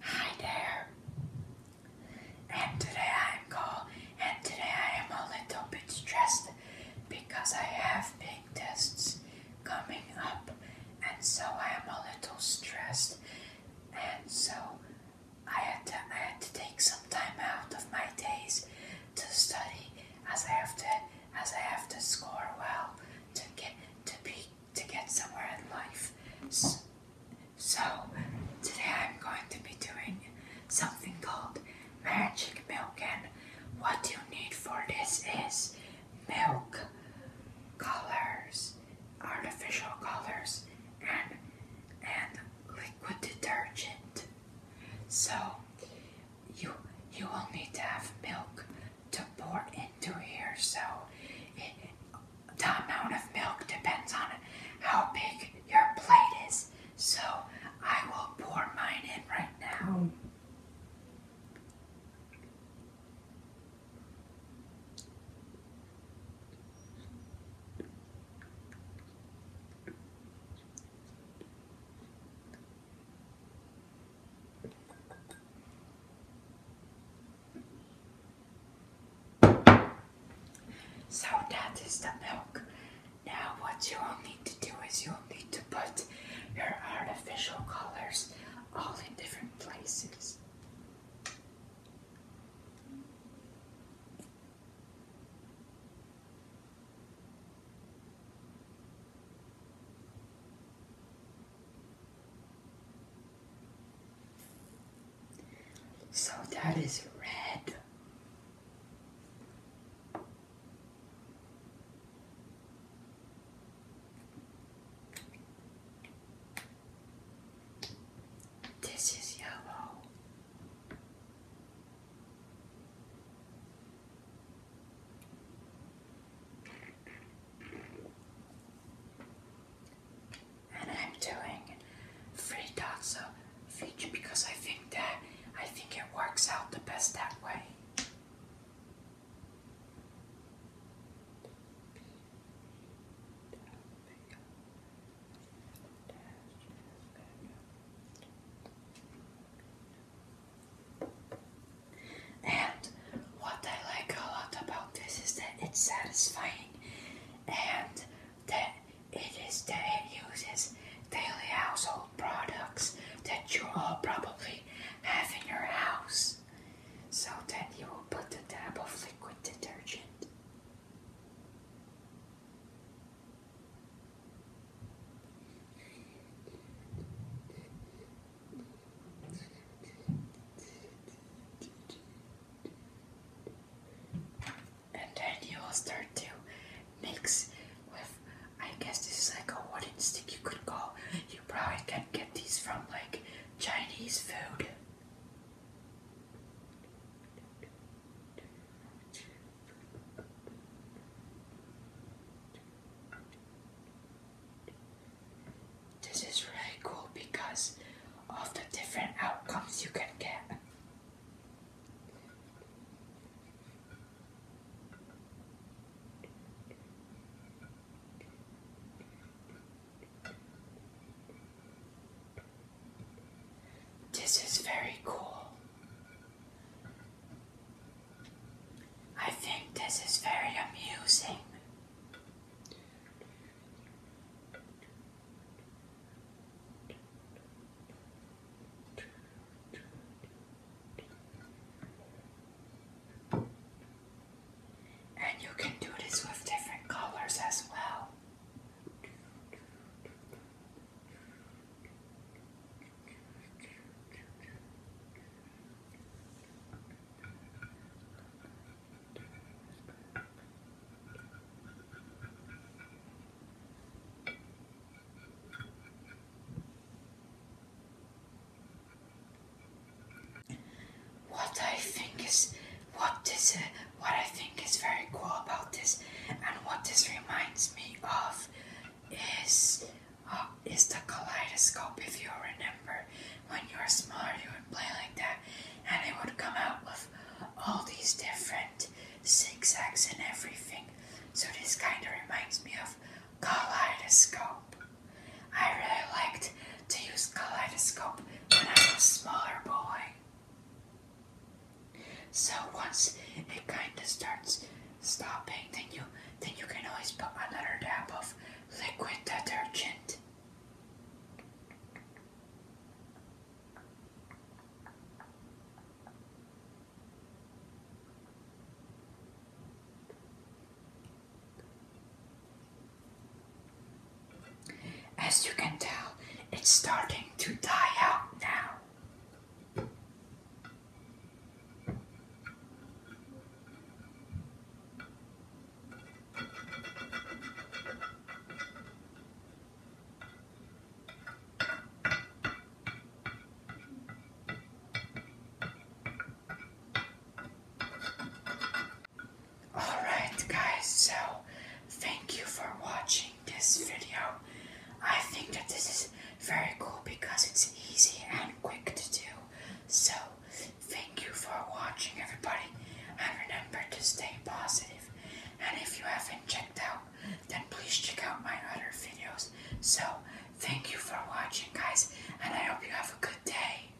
Hi there, and today I'm Cole, and today I am a little bit stressed because I have big tests coming up, and so I am a little stressed, and so I had to, I had to take some time out of my days to study, as I have to as I have to score well to get to be to get somewhere in life. So, today I'm going to be doing something called magic milk and what you need for this is milk, colors, artificial colors, and, and liquid detergent. So you, you will need to have milk to pour into here. So the amount of milk depends on how big your plate is. So I will pour mine in right now. Oh. So that is the milk. Now what you will need to do is you will need to put your artificial colors all in different places. So that is red. This is yellow. And I'm doing three dots of feature because I think that I think it works out the best that way. And what I like a lot about this is that it's satisfying and that it is that it uses daily household products that you all probably have in your house. So then you will put a dab of liquid detergent. And then you will start to mix with, I guess this is like a wooden stick you could call. You probably can get these from like Chinese food. This is really cool because of the different outcomes you can get. This is very cool. I think this is very amusing. And you can do this with different colors as well. What I think is what is it? what I think is very cool about this and what this reminds me of is uh, is the kaleidoscope. If you remember, when you were smaller, you would play like that, and it would come out with all these different zigzags and everything. So this kind of reminds me of kaleidoscope. I really liked to use kaleidoscope when I was a smaller boy. So once it kind of starts stopping, then you then you can always put another dab of liquid detergent. As you can tell, it's starting to die out now. Alright guys, so thank you for watching this video. I think that this is very cool because it's easy and quick to do. So thank you for watching everybody and remember to stay positive. And if you haven't checked out, then please check out my other videos. So thank you for watching guys and I hope you have a good day.